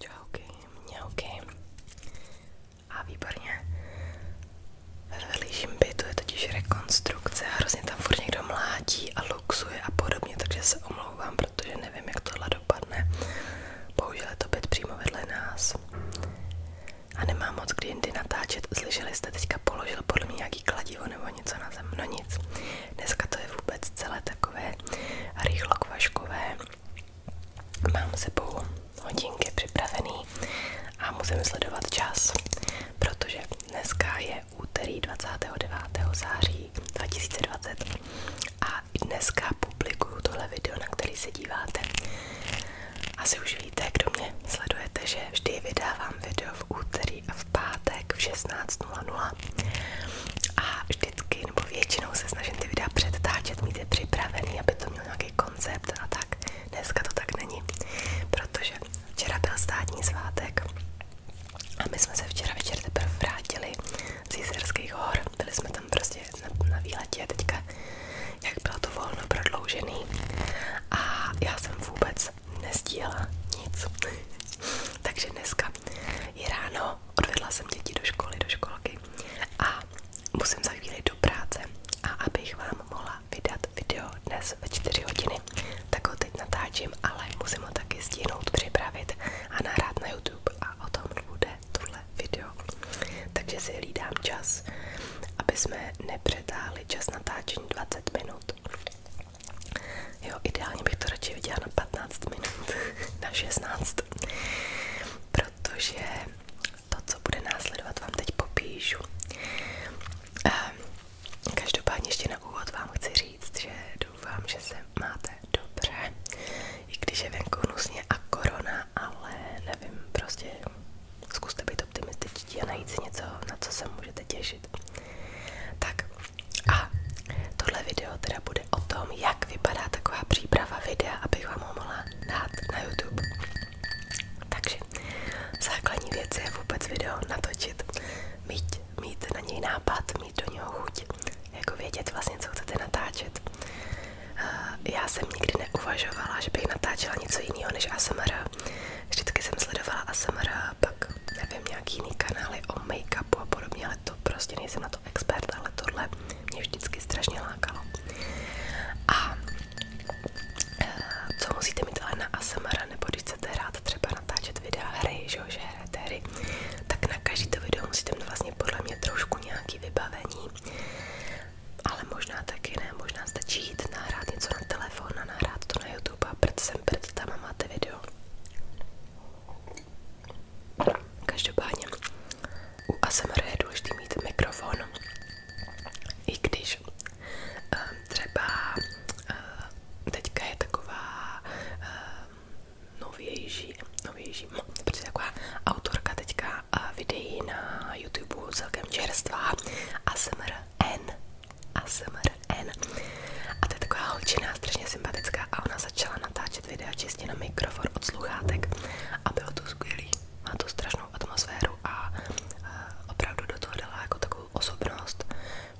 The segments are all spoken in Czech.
Čauky, mňauky. A výborně. Ve vedlejším bytu je totiž rekonstrukce a hrozně tam furt někdo mlátí a luxuje a podobně, takže se omlouvám, protože nevím, jak tohle dopadne. Bohužel je to byt přímo vedle nás. A nemám moc kdy jindy natáčet. Slyšeli jste teďka položil podle mě nějaký kladivo nebo něco na zem. No nic. Dneska to je vůbec celé takové rychlo kvaškové. Mám sebou hodinky připravený a musím sledovat čas, protože dneska je úterý 29. září 2020 a dneska publikuju tohle video, na který se díváte. Asi už víte, kdo mě sledujete, že vždy vydávám video v úterý úterý a v pátek v 16.00 a vždycky nebo většinou se snažím ty videa předtáčet, mít je připravený, aby to měl nějaký koncept a tak. Dneska to tak není, protože včera byl státní svátek a my jsme se včera večer teprve vrátili z Jizerských hor, byli jsme tam prostě na, na výletě teďka, jak bylo to volno prodloužený a já jsem vůbec vůbec nic. Takže dneska je odvedla jsem děti do školy, do školky a musím za chvíli do práce. A abych vám mohla vydat video dnes ve hodiny, tak ho teď natáčím, ale musím ho taky stihnout, připravit a nahrát na YouTube a o tom bude tohle video. Takže si hlídám čas, aby jsme nepřetáhli čas natáčení 20 minut, minut. Jo, ideálně bych to radši viděla na 15 minut, na 16, protože to, co bude následovat, vám teď popíšu. Ehm, každopádně ještě na úvod vám chci říct, že doufám, že se máte dobře, i když je venku hnusně a korona, ale nevím, prostě zkuste být optimističtí a najít si něco, na co se můžete těšit řešit. Tak a tohle video teda bude o tom, jak vypadá taková příprava videa, abych vám ho mohla dát na YouTube. Takže základní věc je vůbec video natočit, mít, mít na něj nápad, mít do něho chuť, jako vědět vlastně, co chcete natáčet. Já jsem nikdy neuvažovala, že bych natáčela něco jiného než ASMR. Vždycky jsem sledovala ASMR, pak nevím, nějaký jiný kanály o make-upu a podobně, ale to prostě nejsem na to expert, ale tohle mě vždycky strašně lákalo. A eh, co musíte mít ale na ASMR, nebo když chcete hrát třeba natáčet videa hry, že, že hrajete hry, tak na každý to video musíte mít vlastně podle mě trošku nějaký vybavení, ale možná taky ne, možná stačí jít nahrát něco na telefon a nahrát to na YouTube a prd sem prd tam a máte video. Každopádně u ASMR je důležité mít mikrofon, i když eh, třeba eh, teďka je taková eh, novější, novější, no, protože taková autorka teďka videí na YouTube celkem čerstvá ASMR N ASMRN a to je taková holčina, strašně sympatická a ona začala natáčet videa čistě na mikrofon od sluchátek a bylo to skvělý, má to strašnou atmosféru a opravdu do toho dala jako takovou osobnost.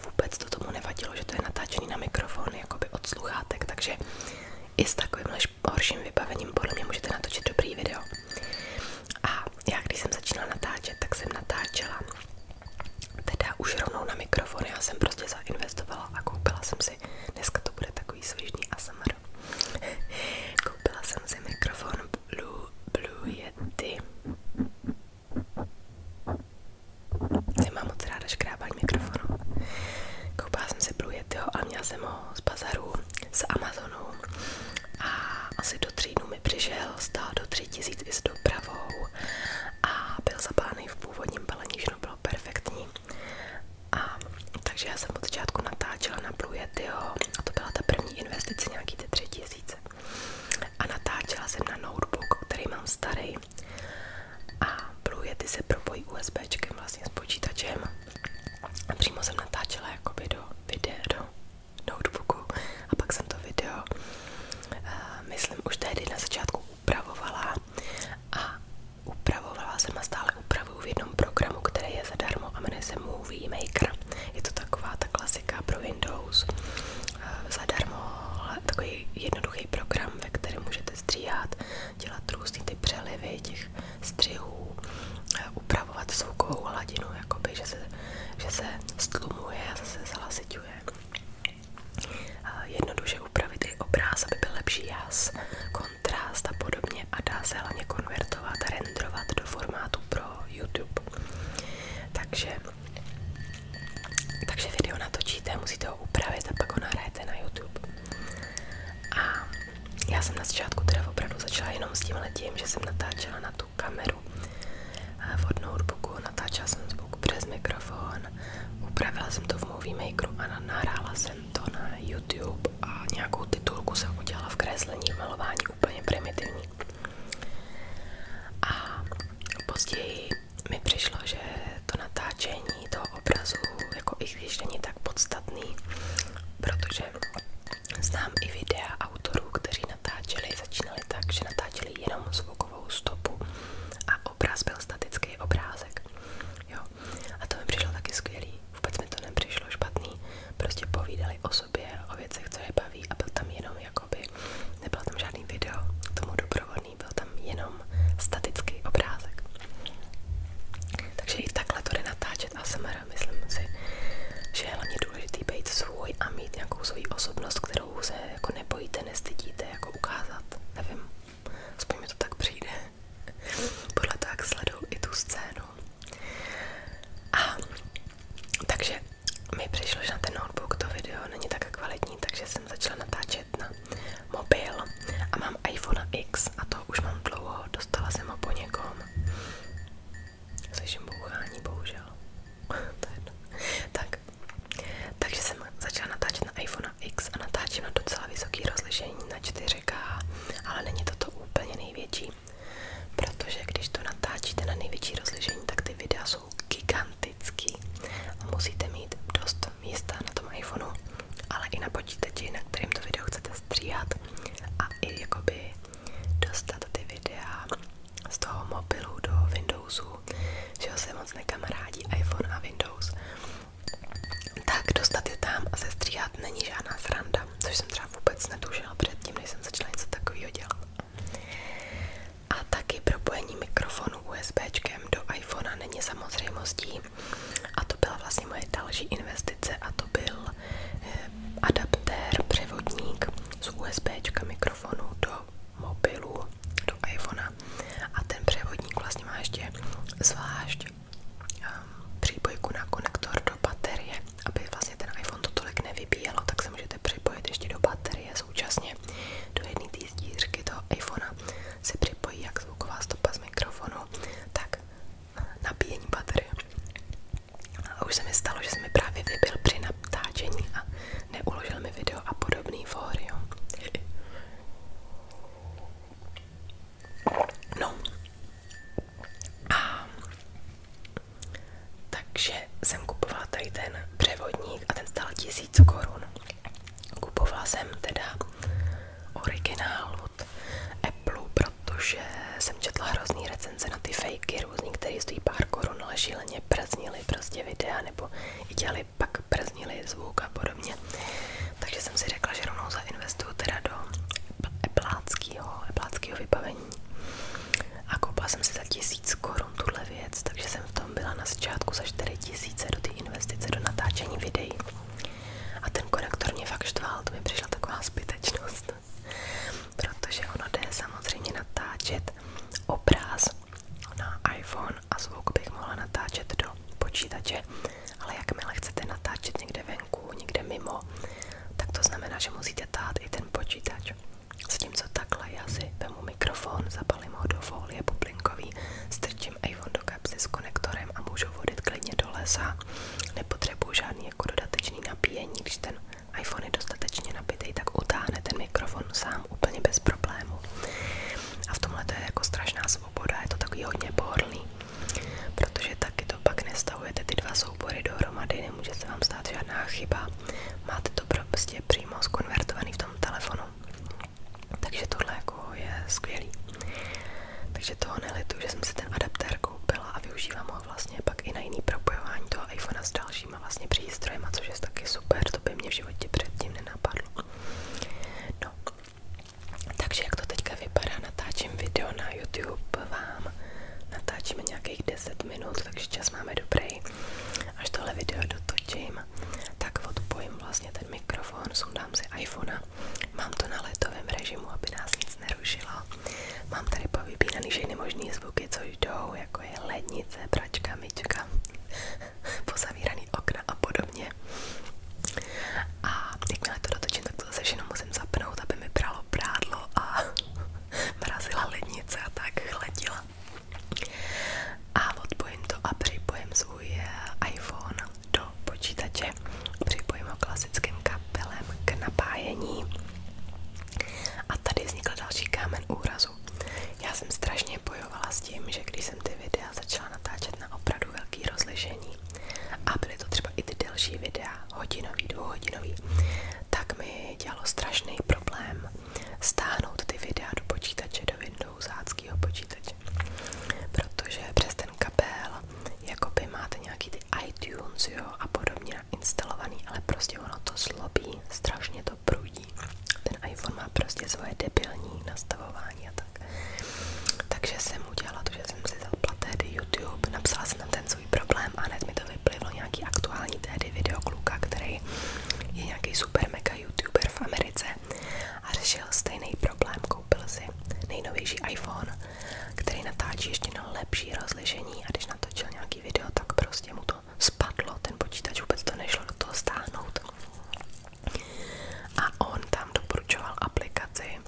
Vůbec to tomu nevadilo, že to je natáčený na mikrofon jakoby od sluchátek, takže i s takovýmhle horším vybavením podle můžete natočit dobrý video. A já jsem začínala natáčet, tak jsem natáčela Teda už rovnou na mikrofon, já jsem prostě zainvestovala a koupila jsem si, dneska to bude takový svižný ASMR. koupila jsem si mikrofon Blue, Blue Yeti. Nemám moc ráda škrábání mikrofonu. Koupila jsem si Blue Yetiho, ale měla jsem ho z bazaru, z Amazonu a asi do tří dnů mi přišel, stál do tří tisíc i s dopravou a byl zapálený v původním balení všechno bylo perfektní. A takže já jsem od začátku natáčela na Blue Yetiho, a to byla ta první investice, nějaký ty tři tisíce. A natáčela jsem na notebook, který mám starý. A Blue Yeti se propojí USBčkem vlastně s počítačem. A přímo jsem natáčela jakoby do videa, do notebooku. A pak jsem to video, uh, myslím, už tehdy na začátku upravovala a upravovala jsem a stále upravuju v jednom programu, který je zadarmo a jmenuje se Movie Maker. Je to taková ta klasika pro Windows. Eh, zadarmo, takový jednoduchý program, ve kterém můžete stříhat, dělat různý ty přelivy těch střihů, eh, upravovat zvukovou hladinu, jakoby, že se, že se stlumuje a zase zalasiťuje. Eh, jednoduše upravit i aby byl lepší jas, kontrast podobně a dá se hlavně konvertovat a renderovat do formátu pro YouTube. Takže, takže video natočíte, musíte ho upravit a pak ho nahrajete na YouTube. A já jsem na začátku teda opravdu začala jenom s že jsem natáčela na tu kameru eh, v od notebooku, natáčela jsem zvuk přes mikrofon Upravila jsem to v Movie Makeru a nahrála jsem to na YouTube a nějakou titulku jsem udělala v kreslení, malování úplně primitivní. A později mi přišlo, že to natáčení toho obrazu, jako i když tak podstatný, protože znám i videa autorů, kteří natáčeli, začínali tak, že natáčeli jenom zvuk zvukovou stopu a obraz byl statický obrázek. Jo. A to mi přišlo taky skvělý. Vůbec mi to nepřišlo špatný. Prostě povídali o sobě, o věcech, co je baví a byl tam jenom jakoby, nebyl tam žádný video k tomu doprovodný, byl tam jenom statický obrázek. Takže i takhle to jde natáčet a samara myslím si, že je hlavně důležitý být svůj a mít nějakou svoji osobnost, kterou se jako nebojíte, nestydíte, jako ukázat, nevím aspoň mi to tak přijde. Podle toho, jak sleduju i tu scénu. A takže mi přišlo, že na ten notebook to video není tak kvalitní, takže jsem začala natáčet na mobil a mám iPhone X a to už mám dlouho, dostala jsem ho po někom. Slyším bouchání, bohužel. tak, takže jsem začala natáčet na iPhone X a natáčím na docela vysoký rozlišení na 4K, ale není to to úplně největší, protože když to natáčíte na největší rozlišení, tak ty videa jsou gigantický a musíte mít dost místa na tom iPhoneu, ale i na počítači, na kterým to video chcete stříhat a i jakoby dostat ty videa z toho mobilu do Windowsu že ho se moc nekamarádí iPhone a Windows, tak dostat je tam a sestříhat není žádná sranda, což jsem třeba vůbec netušila předtím, než jsem začala něco takového dělat. A taky propojení mikrofonu USBčkem do iPhonea není samozřejmostí. A to byla vlastně moje další investice a to byl eh, adaptér, převodník z USBčka mikrofonu do mobilu do iPhonea a ten převodník vlastně má ještě zvlášť um, přípojku na konektor do baterie, aby vlastně ten iPhone to tolik nevybíjelo, tak se můžete připojit ještě do baterie současně. Do jedné té zdířky toho iPhonea se připojí jak zvuková stopa z mikrofonu, tak nabíjení baterie. A už se mi stalo, že se mi právě vybil při natáčení a neuložil mi video a podobný fóry, jo. No. A, takže jsem kupovala tady ten převodník a ten stál tisíc korun. Kupovala jsem teda originál od Apple, protože jsem četla hrozný recenze na ty fakey různý, které stojí pár korun, ale šíleně praznili prostě videa nebo i dělali aby pak brznili zvuk a podobně. Takže jsem si řekla, že rovnou zainvestuju teda do epláckého, epláckého vybavení. A koupila jsem si za tisíc korun tuhle věc, takže jsem v tom byla na začátku za 4 tisíce do ty investice do natáčení videí. A ten konektor mě fakt štval, to mi přišla taková zbytečnost. Protože ono jde samozřejmě natáčet obraz na iPhone a zvuk bych mohla natáčet do počítače, ale jakmile chcete natáčet někde venku, někde mimo, tak to znamená, že musíte tát i ten počítač. S tím, co takhle, já si vemu mikrofon, zapalím ho do folie bublinkový, strčím iPhone do kapsy s konektorem a můžu vodit klidně do lesa. Nepotřebuju žádný jako dodatečný nabíjení, když ten iPhone je dostatečně nabitý, tak utáhne ten mikrofon sám úplně bez problémů. A v tomhle to je jako strašná svoboda, je to takový hodně pohodlný, protože taky to pak nestavujete ty dva soubory dohromady, nemůže se vám stát žádná chyba, máte to prostě přímo skonvertovaný v tom telefonu. Takže tohle jako je skvělý. Takže toho nelitu, že jsem si ten adaptér koupila a využívám ho vlastně pak i na jiný propojování toho iPhonea s dalšíma vlastně přístrojem, což je taky super, to by mě v životě předtím nenapadlo. No, takže jak to teďka vypadá, natáčím video na YouTube vám, natáčíme nějakých 10 minut, takže čas máme dobrý. Až tohle video dotočím, tak odpojím vlastně ten mikrofon, sundám si iPhone, mám to na letovém režimu, aby nás nic nerušilo. Mám tady povypínaný všechny možný zvuky, co jdou, jako je lednice, pračka, myčka, pozavíraný okna a podobně. A jakmile to dotočím, tak to zase musím zapnout, aby mi bralo prádlo a mrazila lednice a tak chladila. A odpojím to a připojím svůj eh, iPhone do počítače. Připojím ho klasickým kabelem k napájení. A tady vznikl další kámen úrazu. Já jsem strašně bojovala s tím, že když jsem ty videa videa začala natáčet na opravdu velký rozlišení a byly to třeba i ty delší videa, hodinový, dvouhodinový, tak mi dělalo strašný problém stáhnout ty videa do počítače, do Windows Windowsáckého počítače, protože přes ten kabel jakoby máte nějaký ty iTunes jo, a podobně nainstalovaný, ale prostě ono to zlobí, strašně to prudí. Ten iPhone má prostě svoje debilní nastavování a tak tak. Takže jsem udělala to, že jsem si zapla tehdy YouTube, napsala jsem tam ten svůj problém a hned mi to vyplivlo nějaký aktuální tehdy video kluka, který je nějaký super mega YouTuber v Americe a řešil stejný problém, koupil si nejnovější iPhone, který natáčí ještě na lepší rozlišení a když natočil nějaký video, tak prostě mu to spadlo, ten počítač vůbec to nešlo do toho stáhnout. A on tam doporučoval aplikaci,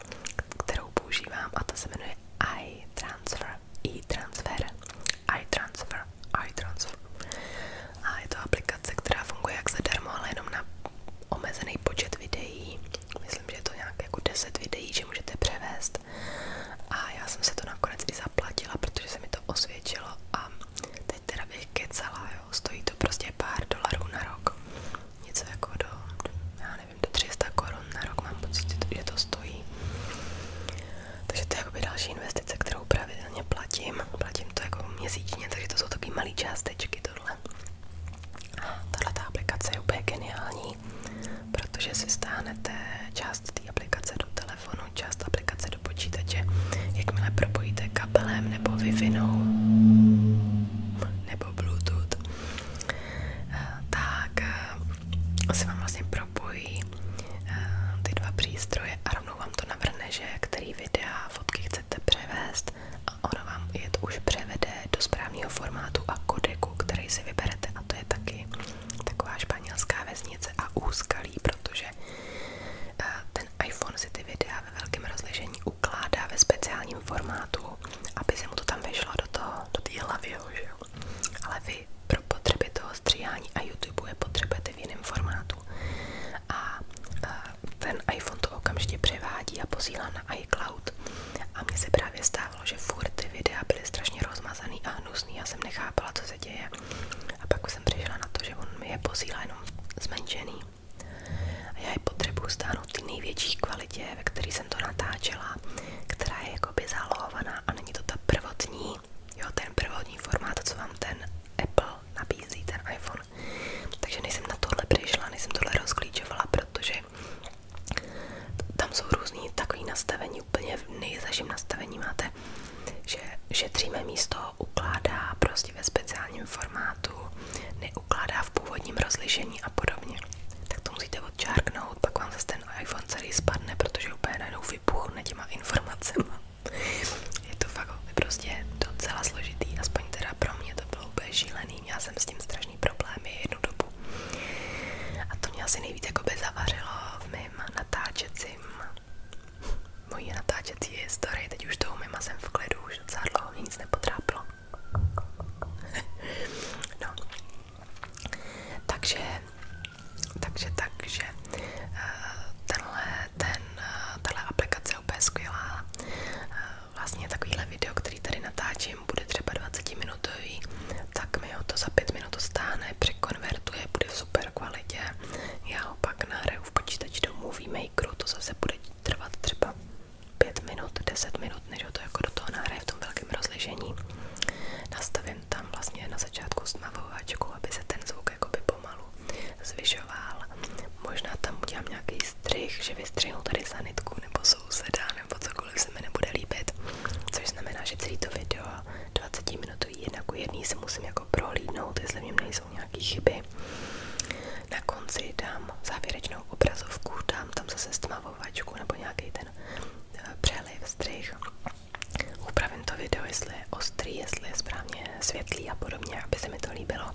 kterou používám a ta se jmenuje iTransfer, iTransfer, iTransfer, iTransfer. A je to aplikace, která funguje jak zadarmo, ale jenom na omezený počet videí. Myslím, že to nějak jako videí, že můžete převést. A já jsem se to nakonec i zaplatila, protože se mi to osvědčilo a teď teda bych kecala, Jo, stojí to prostě pár dolarů na rok. Něco jako do, já nevím, do 300 korun na rok mám pocit, že to stojí. Takže to je jakoby další investice, kterou pravidelně platím. Platím to jako měsíčně, takže to jsou taky malé částečky tohle. A tahle ta aplikace je úplně geniální, protože si stáhnete část té aplikace do telefonu, část aplikace do počítače počítače, jakmile propojíte kabelem nebo wi nebo Bluetooth, tak eh, se vám vlastně propojí eh, ty dva přístroje a rovnou vám to navrne, že který videa, fotky chcete převést a ono vám je to už převede do správného formátu a kodeku, který si vyberete a to je taky taková španělská vesnice a úskalí, protože eh, ten iPhone si ty videa ve velkém rozlišení ukládá ve speciálním formátu, aby se mu to tam vešlo do toho, do té hlavy, že jo. Ale vy pro potřeby toho stříhání a YouTube je potřebujete v jiném formátu. A ten iPhone to okamžitě převádí a posílá na iCloud. A mně se právě stávalo, že furt ty videa byly strašně rozmazaný a hnusný. Já jsem nechápala, co se děje. A pak jsem přišla na to, že on mi je posílá jenom zmenšený. A já ji potřebuju stáhnout ty největší kvalitě, ve které jsem to natáčela, která je jakoby zálohovaná a není to ta prvotní, jo, ten prvotní formát, co vám ten Apple nabízí, ten iPhone. Takže nejsem na tohle přišla, nejsem tohle rozklíčovala, protože tam jsou různý takový nastavení, úplně v nejzažím nastavení máte, že šetříme místo, ukládá, prostě paměti ve speciálním formátu, neukládá v původním rozlišení a podobně. Tak to musíte odčárknout, pak vám zase ten iPhone celý spadne, protože úplně najednou vypuchne těma informacemi. Je to fakt prostě docela složitý, aspoň teda pro mě to bylo úplně šílený, Já jsem s tím strašný problém jednu dobu. A to mě asi nejvíc jako by v mém natáčecím mojí natáčecí historii, teď už tou jsem v klidu, už docela nic nepotrápilo. no. Takže, takže, takže, eh, tenhle, ten, eh, tahle aplikace je eh, Vlastně takovýhle video, který tady natáčím, bude třeba 20 minutový, tak mi ho to za 5 minut stáhne, překonvertuje, bude v super kvalitě. Já ho pak nahraju v počítači do Movie to zase bude trvat třeba 5 minut, 10 minut, než ho to jako do toho nahraje v tom velkém rozlišení. Nastavím tam vlastně na začátku stmavováčku, aby se ten zvuk jakoby pomalu zvyšoval. Možná tam udělám nějaký střih, že vystřihnu tady sanitku nebo souseda nebo cokoliv se mi nebude líbit. Což znamená, že celý to video 20 minutový jedna ku jedný si musím jako prohlídnout, jestli v něm nejsou jsou nějaké chyby. Na konci dám závěrečnou obrazovku, dám tam zase stmavovačku nebo nějaký ten eh, přeliv, strych. Upravím to video, jestli je ostrý, jestli je správně světlý a podobně, aby se mi to líbilo.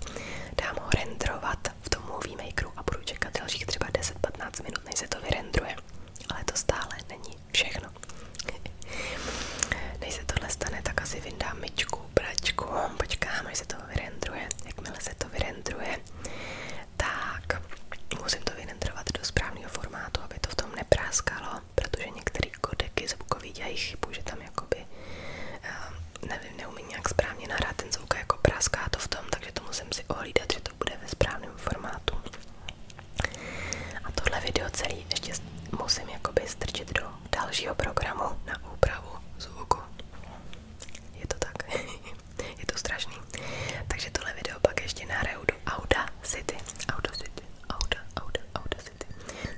Dám ho rendrovat v tom movie makeru a budu čekat dalších třeba 10-15 minut, než se to vyrendruje. Ale to stále není všechno. Než se tohle stane, tak asi vyndám myčku pračku, počkám, až to vyrendruje, jakmile se to vyrendruje, tak musím to vyrendrovat do správného formátu, aby to v tom nepráskalo, protože některé kodeky zvukový dělají chybu, že tam jakoby, eh, nevím, neumí správně nahrát ten zvuk jako práská to v tom, takže to musím si ohlídat, že to bude ve správném formátu. A tohle video celý ještě musím jakoby strčit do dalšího programu na úpravu zvuku jako je to tak, je to strašný. Takže tohle video pak ještě nahraju do Audacity, Audacity, Auda, Auda, Audacity,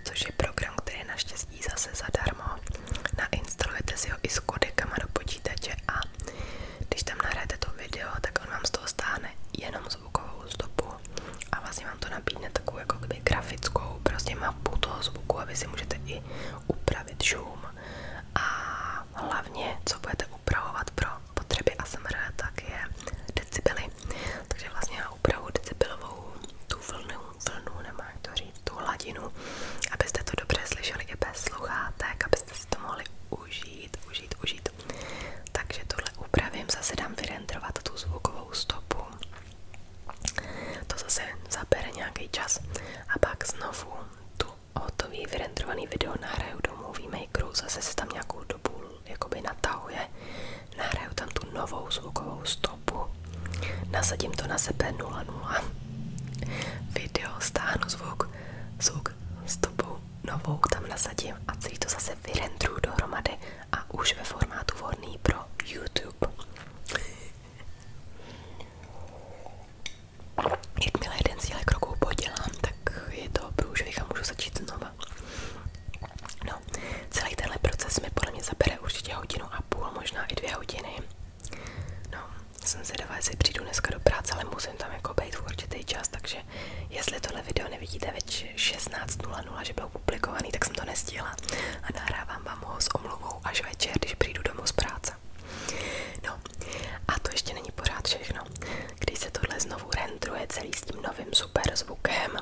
což je program, který je naštěstí zase zadarmo. Nainstalujete si ho i s kodekama do počítače a když tam nahrajete to video, tak on vám z toho stáhne jenom zvukovou stopu a vlastně vám to nabídne takovou jako kdyby grafickou prostě mapu toho zvuku a vy si můžete i upravit šum a hlavně, co budete upravovat pro potřeby ASMR, tak je decibely. Takže vlastně já upravu decibelovou tu vlnu, vlnu nemá jak to říct, tu hladinu, abyste to dobře slyšeli i bez sluchátek, abyste si to mohli užít, užít, užít. Takže tohle upravím, zase dám vyrenderovat tu zvukovou stopu to zase zabere nějaký čas a pak znovu tu hotový vyrenderovaný video nahraju do Movie Makeru, zase se tam nějakou dobu jakoby natahuje, nahraju tam tu novou zvukovou stopu, nasadím to na sebe 0.0, video, stáhnu zvuk, zvuk, stopu novou tam nasadím a celý to zase vyrendruju dohromady a už ve formátu vhodný pro YouTube. Jakmile jeden sílek rukou podělám, tak je to průžvih a můžu začít znova. No, celý tenhle proces mi podle mě zabere určitě hodinu a půl, možná i dvě hodiny. No, jsem zvědavá, jestli přijdu dneska do práce, ale musím tam jako být v určitý čas, takže jestli tohle video nevidíte ve 16.00, že bylo publikovaný, tak jsem to nestihla a nahrávám vám ho s omluvou domů až večer, když přijdu domů z práce. No, a to ještě není pořád všechno. Když se tohle znovu rendruje celý s tím novým super zvukem,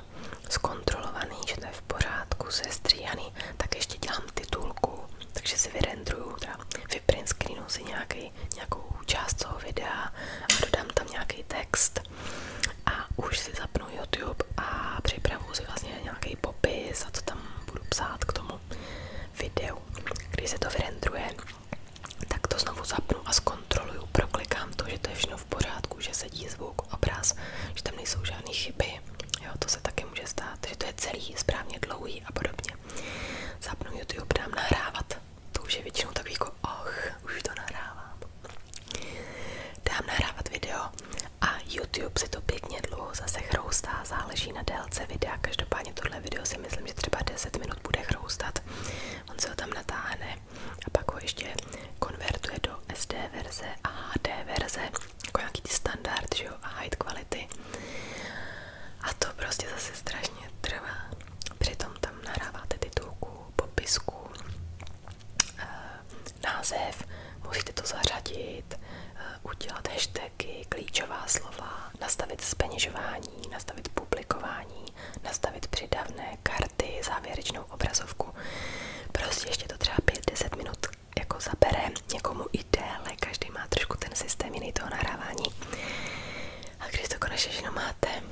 zkontrolovaný, že to je v pořádku, sestříhaný, tak ještě dělám titulku, takže si vyrendruju, teda vyprint screenu si nějaký, nějakou část toho videa a dodám tam nějaký text a už si zapnu YouTube a připravu si vlastně nějaký popis a to tam budu psát k tomu videu. Když se to vyrendruje, tak to znovu zapnu a zkontroluju, proklikám to, že to je všechno v pořádku, že sedí zvuk, obraz, že tam nejsou žádné chyby. Jo, to se taky může stát, že to je celý správně dlouhý a podobně. Zapnu YouTube, dám nahrávat. To už je většinou takový jako, oh, už to nahrávám. Dám nahrávat video a YouTube si to pěkně dlouho zase chroustá, záleží na délce videa, každopádně tohle video si myslím, že třeba 10 minut bude chroustat, on se ho tam natáhne a pak ho ještě konvertuje do SD verze a HD verze, jako nějaký standard, že jo, a high quality a to prostě zase strašně trvá, přitom tam naráváte titulku, popisku, eh, název, musíte to zařadit, eh, udělat hashtagy, klíčová slova, nastavit zpeněžování, nastavit publikování, nastavit přidavné karty, závěrečnou obrazovku. Prostě ještě to třeba 5-10 minut jako zabere někomu i déle, každý má trošku ten systém jiný toho nahrávání. A když to konečně jenom máte,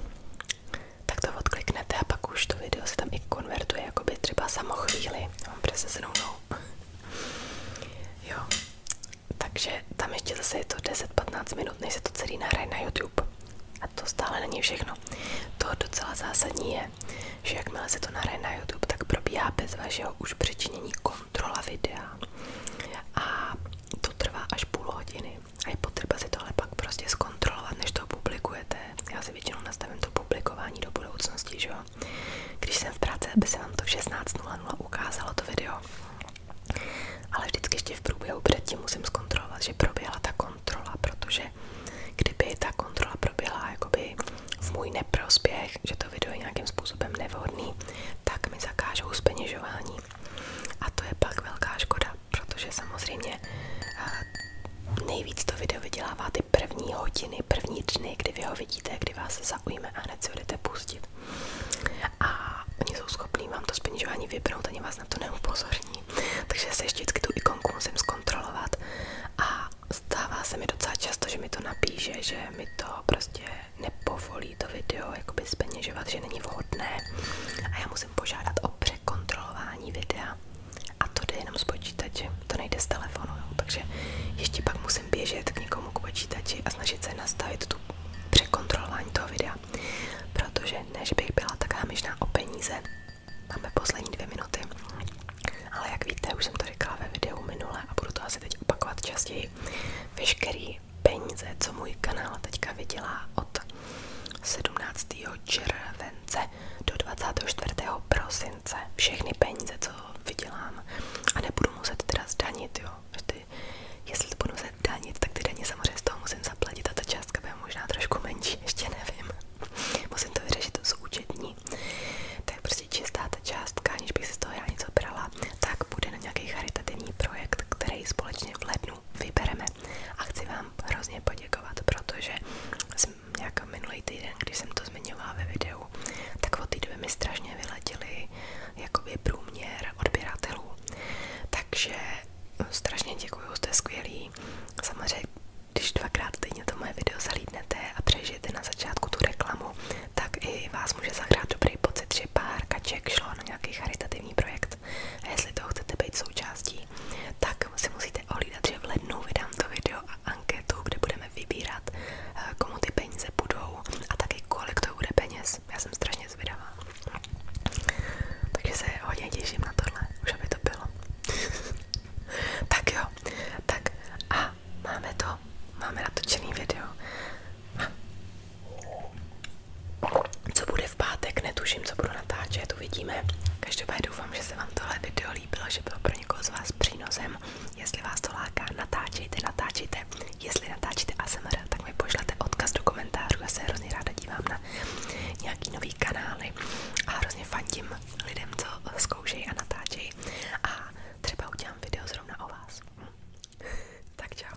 tak to odkliknete a pak už to video se tam i konvertuje, by třeba samo chvíli. Já mám přesně zrovnou jo. Takže tam ještě zase je to 10-15 minut, než se to celý nahraje na YouTube. A to stále není všechno. To docela zásadní je, že jakmile se to nahraje na YouTube, tak probíhá bez vašeho už přičinění kontrola videa. A to trvá až půl hodiny. A je potřeba si tohle pak prostě zkontrolovat, než to publikujete. Já si většinou nastavím to publikování do budoucnosti, že video. Když jsem v práci, aby se vám to v 16.00 ukázalo to video. Ale vždycky ještě v průběhu předtím musím zkontrolovat, že proběhla ta kontrola, protože kdyby ta kontrola proběhla jakoby v můj neprospěch, že to video je nějakým způsobem nevhodný, tak mi zakážou zpeněžování. A to je pak velká škoda, protože samozřejmě nejvíc to video vydělává ty první hodiny, první dny, kdy vy ho vidíte, kdy vás zaujme a hned si budete pustit. A oni jsou schopní vám to spěňování vybrat, ani vás na to neupozorní. Takže se ještě vždycky tu ikonku musím zkontrolovat a stává se mi docela často, že mi to napíše, že mi to prostě nepovolí to video jakoby zpeněžovat, že není vhodné a já musím požádat o překontrolování videa a to jde jenom z počítače, to nejde z telefonu, jo. takže ještě pak musím musím běžet k někomu k počítači a snažit se nastavit tu překontrolování toho videa, protože než bych byla taká hámižná o peníze, máme poslední dvě minuty, ale jak víte, už jsem to říkala ve videu minule a budu to asi teď opakovat častěji, veškerý peníze, co můj kanál teďka vydělá od 17. července do 24. prosince mince, všechny peníze, co vydělám a nebudu muset teda zdanit, jo. Ty, jestli to budu muset zdanit, tak ty daně samozřejmě z toho musím zaplatit a ta částka by bude možná trošku menší, ještě nevím. Musím to vyřešit z účetní. Tak prostě čistá ta částka, aniž bych si z toho já něco brala, tak bude na nějaký charitativní projekt, který společně v lednu vybereme. A chci vám hrozně poděkovat, protože jsem nějak tak minulý týden, když jsem to zmiňovala ve videu, tak od té doby mi strašně vyletěly jakoby průměr odběratelů. Takže eh, strašně děkuju, jste skvělí. Samozřejmě, když dvakrát týdně to moje video zalídnete a přežijete na začátku tu reklamu, tak i vás může zahrát dobrý pocit, že pár kaček šlo na nějaký charitativní projekt. A jestli to chcete být součástí, tak si musíte ohlídat, že v lednu vydám to video a anketu, kde budeme vybírat, eh, komu ty peníze budou a taky kolik to bude peněz. Já jsem strašně zvědavá. Takže hodně těším na tohle, už aby to bylo. tak jo, tak a máme to, máme natočený video. Co bude v pátek, netuším, co budu natáčet, uvidíme. Každopádně doufám, že se vám tohle video líbilo, že bylo pro někoho z vás přínosem. Jestli vás to láká, natáčejte, natáčejte. Jestli natáčíte ASMR, tak mi pošlete odkaz do komentářů. Já se hrozně ráda dívám na nějaký nový kanály a hrozně fandím lidem, co zkoušejí a natáčejí. A třeba udělám video zrovna o vás. tak čau.